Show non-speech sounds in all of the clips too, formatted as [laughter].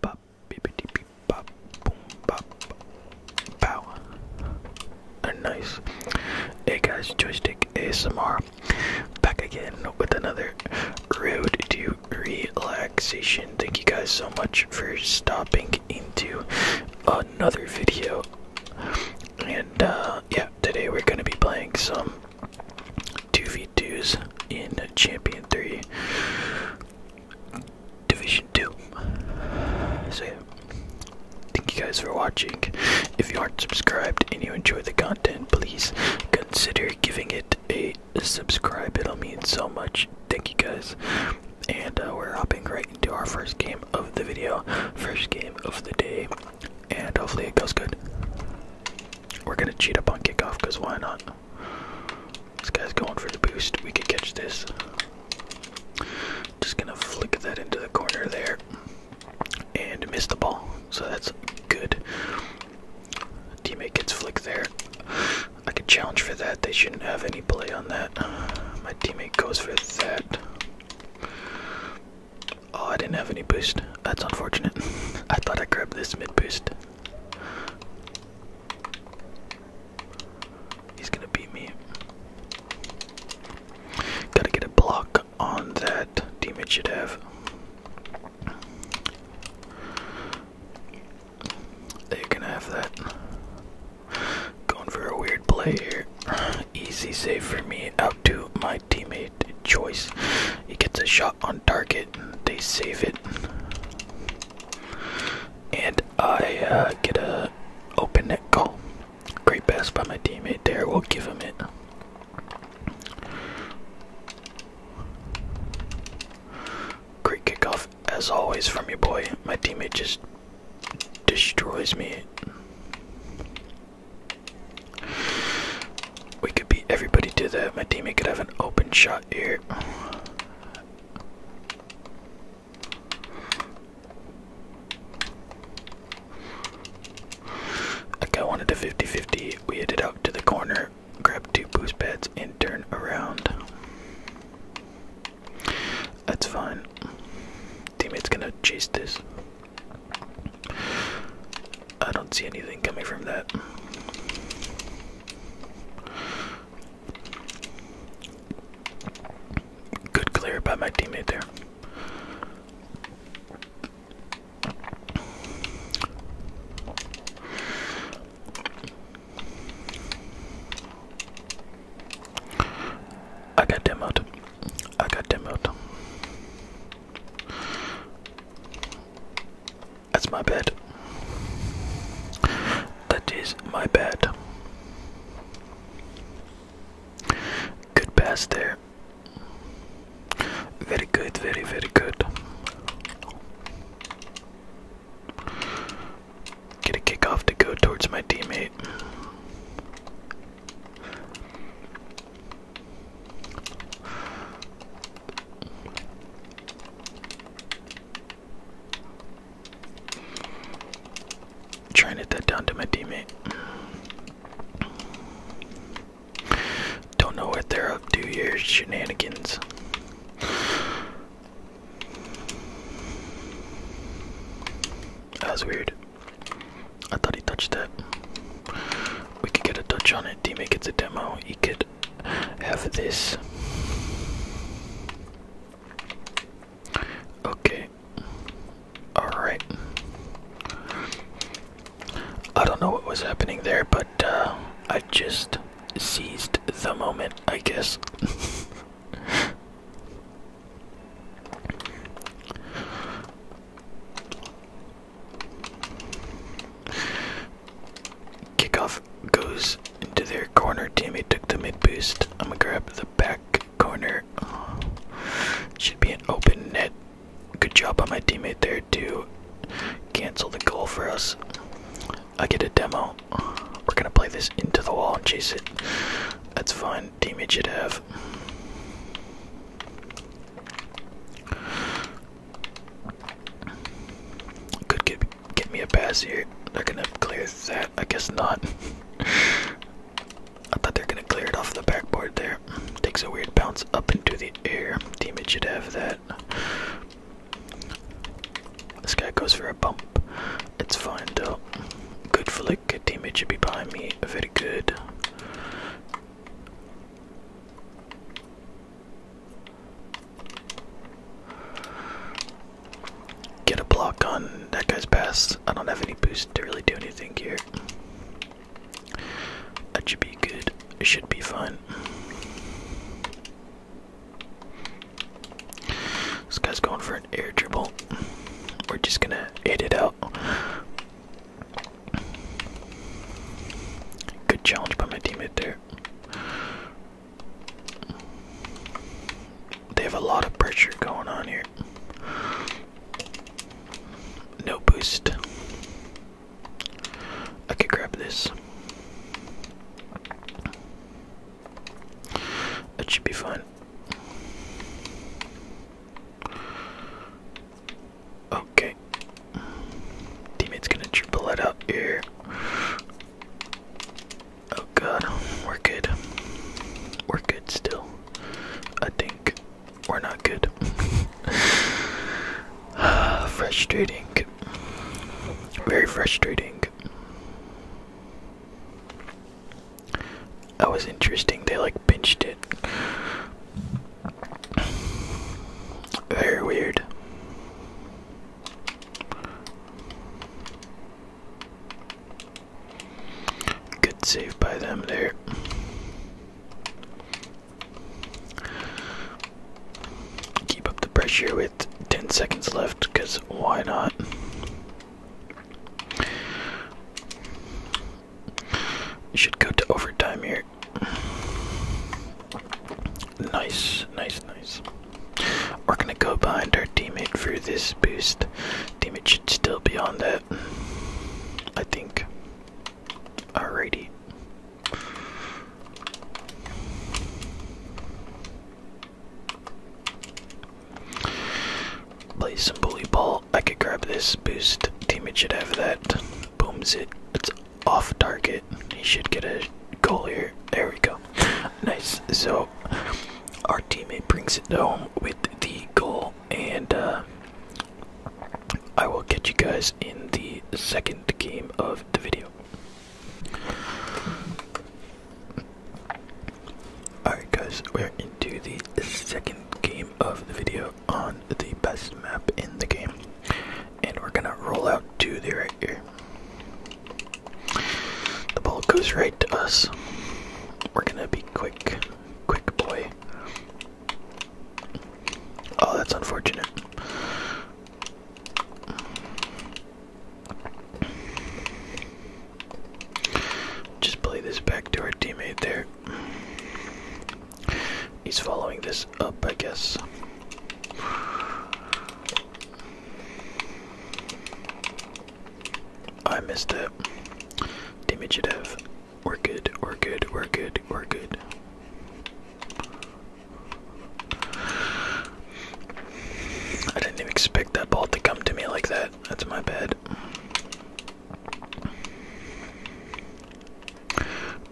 Bop, bippity beep, bop, boom, bop, bow. Nice. Hey guys, Joystick ASMR back again with another Road to Relax Thank you guys so much for stopping into another video. And uh, yeah, today we're gonna be playing some 2v2s in Champion 3 Division 2. So yeah. Thank you guys for watching. If you aren't subscribed and you enjoy the content, please consider giving it a subscribe. It'll mean so much. Thank you guys and uh, we're hopping right into our first game of the video, first game of the day, and hopefully it goes good. We're gonna cheat up on kickoff because why not? This guy's going for the boost. We could catch this. Just gonna flick that into the corner there and miss the ball. So that's good. Teammate gets flicked there. I could challenge for that. They shouldn't have any play on that. Uh, my teammate goes for that. Oh, I didn't have any boost. That's unfortunate. [laughs] I thought I grabbed this mid boost. He's gonna beat me. Gotta get a block on that. Teammate should have. They are gonna have that. Going for a weird play here. Easy save for me out to my teammate Choice. He gets a shot on target. They save it. And I uh, get a open net goal. Great pass by my teammate there. We'll give him it. Great kickoff as always from your boy. My teammate just destroys me. We could beat everybody to that. My teammate could have an open shot here. Okay, I wanted a 50-50. We headed out to the corner, grabbed two boost pads, and turned around. That's fine. Teammate's gonna chase this. I don't see anything coming from that. Good clear by my teammate there. I got demoed. I got demoed. That's my bad. That is my bad. Good pass there. Very good, very, very good. Get a kickoff to go towards my teammate. Trying to hit that down to my teammate. Don't know what they're up to here, shenanigans. That was weird. I thought he touched that. We could get a touch on it. D-Make gets the demo. He could have this. Okay. Alright. I don't know what was happening there, but uh, I just seized the moment, I guess. Kickoff goes into their corner. Teammate took the mid boost. I'm gonna grab the back corner. should be an open net. Good job by my teammate there to cancel the goal for us. I get a demo. We're gonna play this into the wall and chase it. That's fine. Damage it have. Could get get me a pass here. they gonna clear that. I guess not. [laughs] I thought they're gonna clear it off the backboard there. Takes a weird bounce up into the air. Damage should have that. This guy goes for a bump. It's fine though. Good flick. A teammate should be behind me. Very good. Get a block on that guy's pass. I don't have any boost to really do anything here. That should be good. It should be fine. This guy's going for an air dribble. We're just gonna hit it out. Good challenge by my teammate there. They have a lot of pressure going on here. No boost. I could grab this. That should be fine. Okay. Teammate's gonna triple it out here. Oh god, we're good. We're good still. I think we're not good. [sighs] Frustrating. Very frustrating that was interesting. They like pinched it. Very weird. Good save by them there. Keep up the pressure with 10 seconds left, because why not? Should go to overtime here. Nice, nice, nice. We're gonna go behind our teammate for this boost. Teammate should still be on that. I think. Alrighty. Play some bully ball. I could grab this boost. Teammate should have that. Booms it. It's off target. He should get a goal here. There we go. Nice. So our teammate brings it home with the goal, and uh, I will catch you guys in the second game of the video. Alright guys, we're into the second game of the video on the best map in the game. And we're gonna roll out to the right here. The ball goes right to us. We're gonna be quick, quick boy. Oh, that's unfortunate. Just play this back to our teammate there. He's following this up, I guess. I missed it. Dimitridev. We're good, we're good, we're good, we're good. I didn't even expect that ball to come to me like that. That's my bad.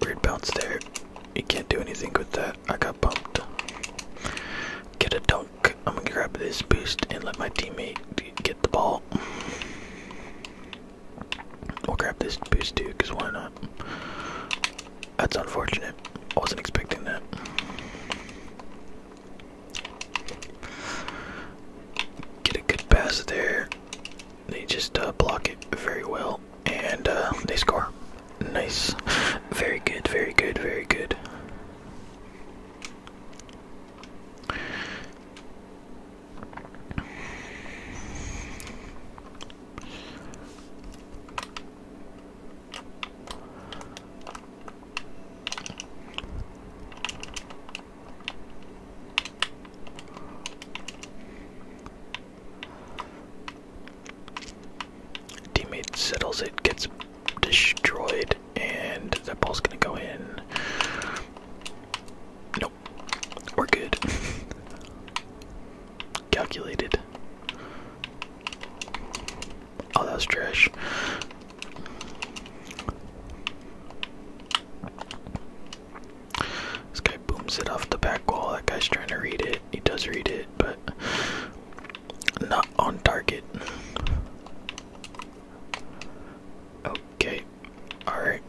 Weird bounce there. You can't do anything with that. I got bumped. Get a dunk. I'm gonna grab this boost and let my teammate get the ball. We'll grab this boost too, because why not? That's unfortunate. I wasn't expecting that. Get a good pass there. They just uh, block it very well, and uh, they score. Nice. Very good, very good, very good. Teammate settles it, gets destroyed, and that ball's gonna go in. Nope. We're good. [laughs] calculated. Oh, that was trash. This guy booms it off the back wall. That guy's trying to read it. He does read it, but not on target. Okay, alright.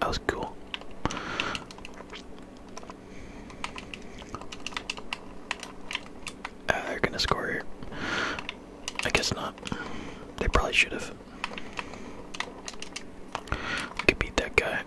That was cool. Uh, they're gonna score here. I guess not. They probably should have. could beat that guy.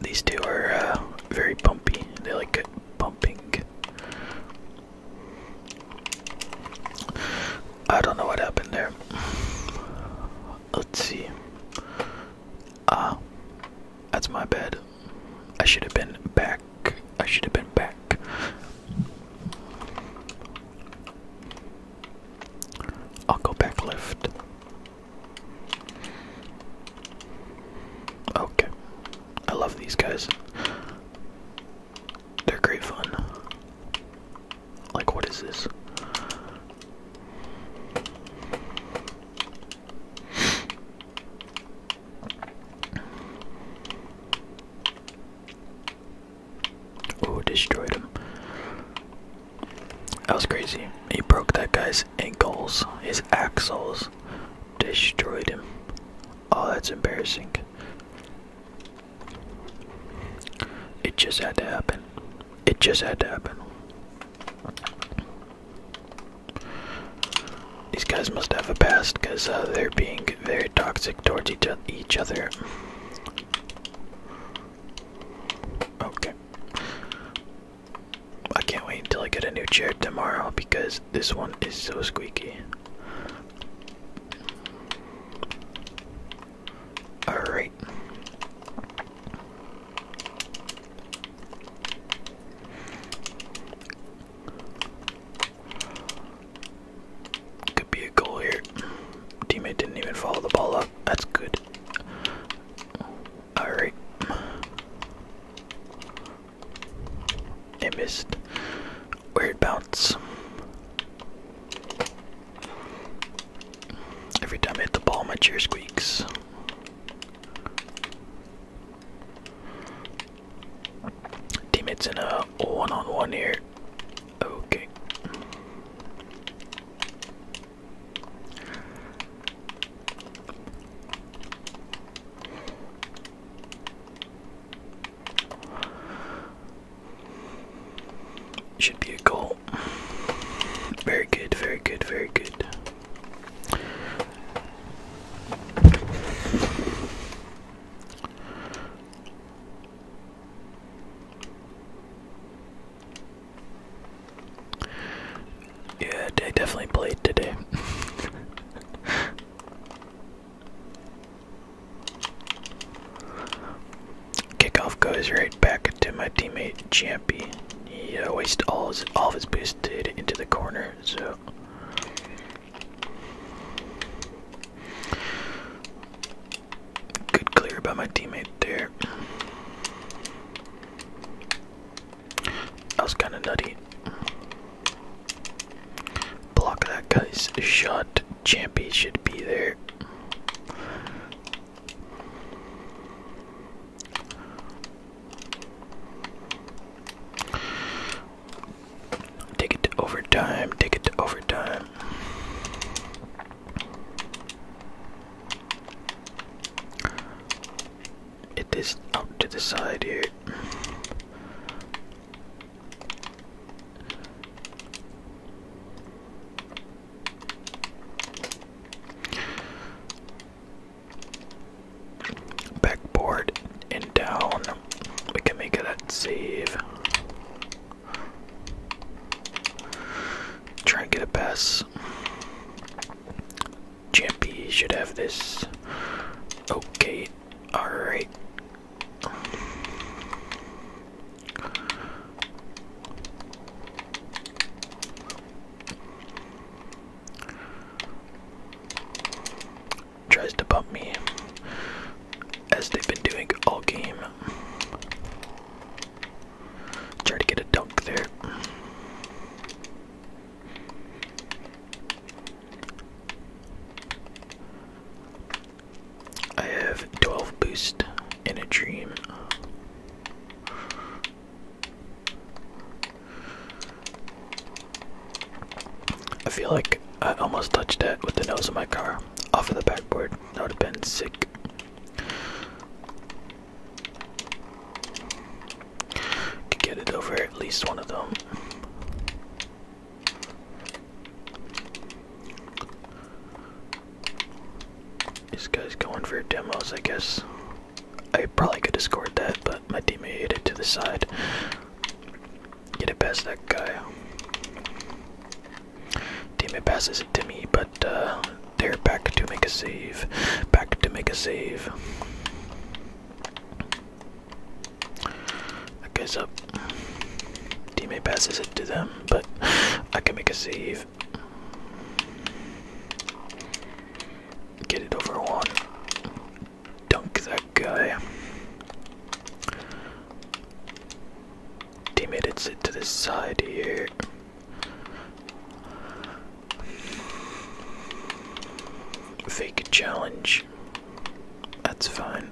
These two are uh, very bumpy. They like bumping. I don't know what happened there. Let's see. Ah, that's my bed. I should have been back. I should have been back. I'll go back left. Okay. I love these guys. They're great fun. Like, what is this? Oh, destroyed him. That was crazy. He broke that guy's ankles, his axles, destroyed him. Oh, that's embarrassing. It just had to happen. It just had to happen. These guys must have a past because uh, they're being very toxic towards each, each other. Okay. I can't wait until I get a new chair tomorrow because this one is so squeaky. Alright. Could be a goal here. Teammate didn't even follow the ball up. That's good. Alright. It missed. Weird bounce. Every time I hit the ball, my chair squeaks. Team, it's in a one on one here. Okay. Should be a goal. Very good, very good, very good. Yeah, I definitely played today. [laughs] Kickoff goes right back to my teammate Champy. He uh, all, his, all of his boosted into the corner, so. Good clear by my teammate there. That was kind of nutty. Block that guy's shot. Champy should be there. Take it to overtime, take it to overtime. Get out to the side here. Backboard and down. We can make it that save. Try and get a pass. Champy should have this. Okay, alright. Tries to bump me as they've been doing all game. Try to get a dunk there. I have 12 boost in a dream. I feel like I almost touched that with the nose of my car off of the backboard. That would have been sick. Could get it over at least one of them. This guy's going for demos, I guess. I probably could have scored that, but my teammate hit it to the side. Get it past that guy. Teammate passes it to me, but uh, they're back to make a save. Back to make a save. That guy's up. Teammate passes it to them but I can make a save. Get it over one. Dunk that guy. Teammate, it's to this side here. Fake challenge. That's fine.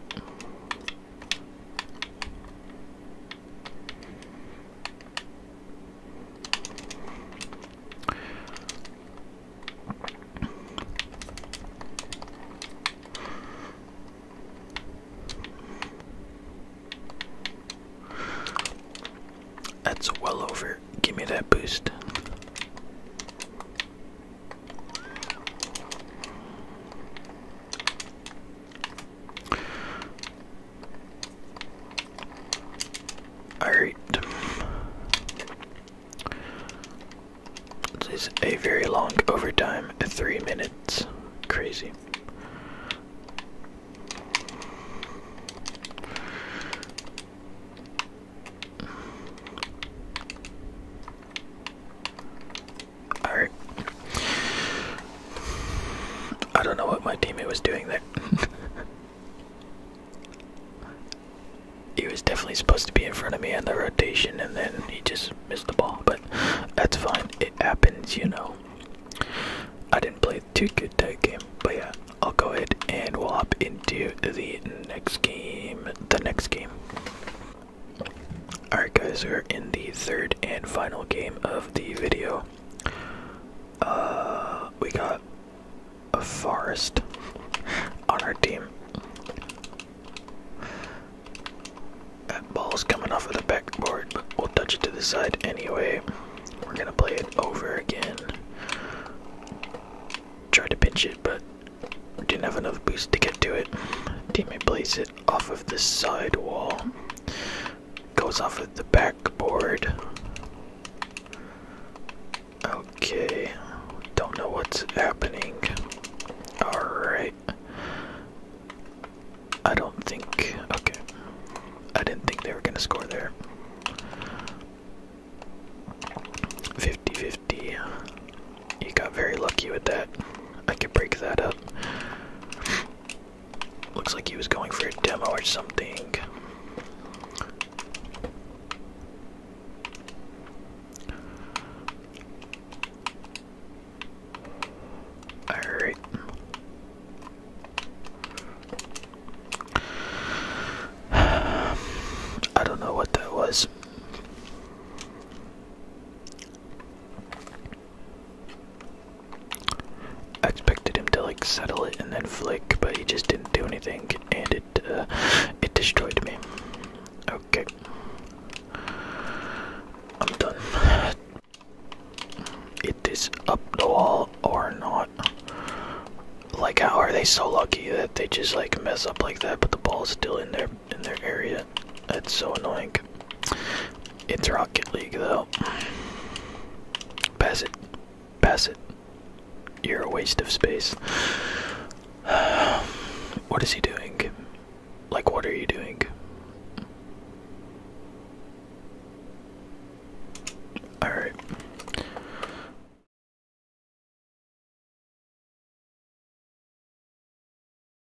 That's well over. Give me that boost. Alright. This is a very long overtime, three minutes. Crazy. Alright. I don't know what my teammate was doing there. [laughs] he was definitely supposed to be in front of me on the rotation and then he just missed the ball, but that's fine. It happens, you know. I didn't play too good that game, but yeah, I'll go ahead and we'll hop into the next game. The next game. Alright, guys, we're in the third and final game of the video. Uh, we got a forest on our team. That ball's coming off of the backboard, but we'll touch it to the side anyway. We're gonna play it over again. Tried to pinch it, but didn't have enough boost to get to it. Teammate plays it off of this side wall, goes off of the backboard. Okay, don't know what's happening. Alright. I don't think. Okay. I didn't think they were going to score there. 50 50. He got very lucky with that. I could break that up. Looks like he was going for a demo or something. Alright. I don't know what that was. I expected him to like settle it and then flick, but he just didn't do anything, and it uh, it destroyed me. Okay, I'm done. It is up the wall or not. Like, how are they so lucky that they just like mess up like that, but the ball is still in their in their area? That's so annoying. It's Rocket League though. Pass it. Pass it. You're a waste of space. [sighs] what is he doing? Like, what are you doing? Alright.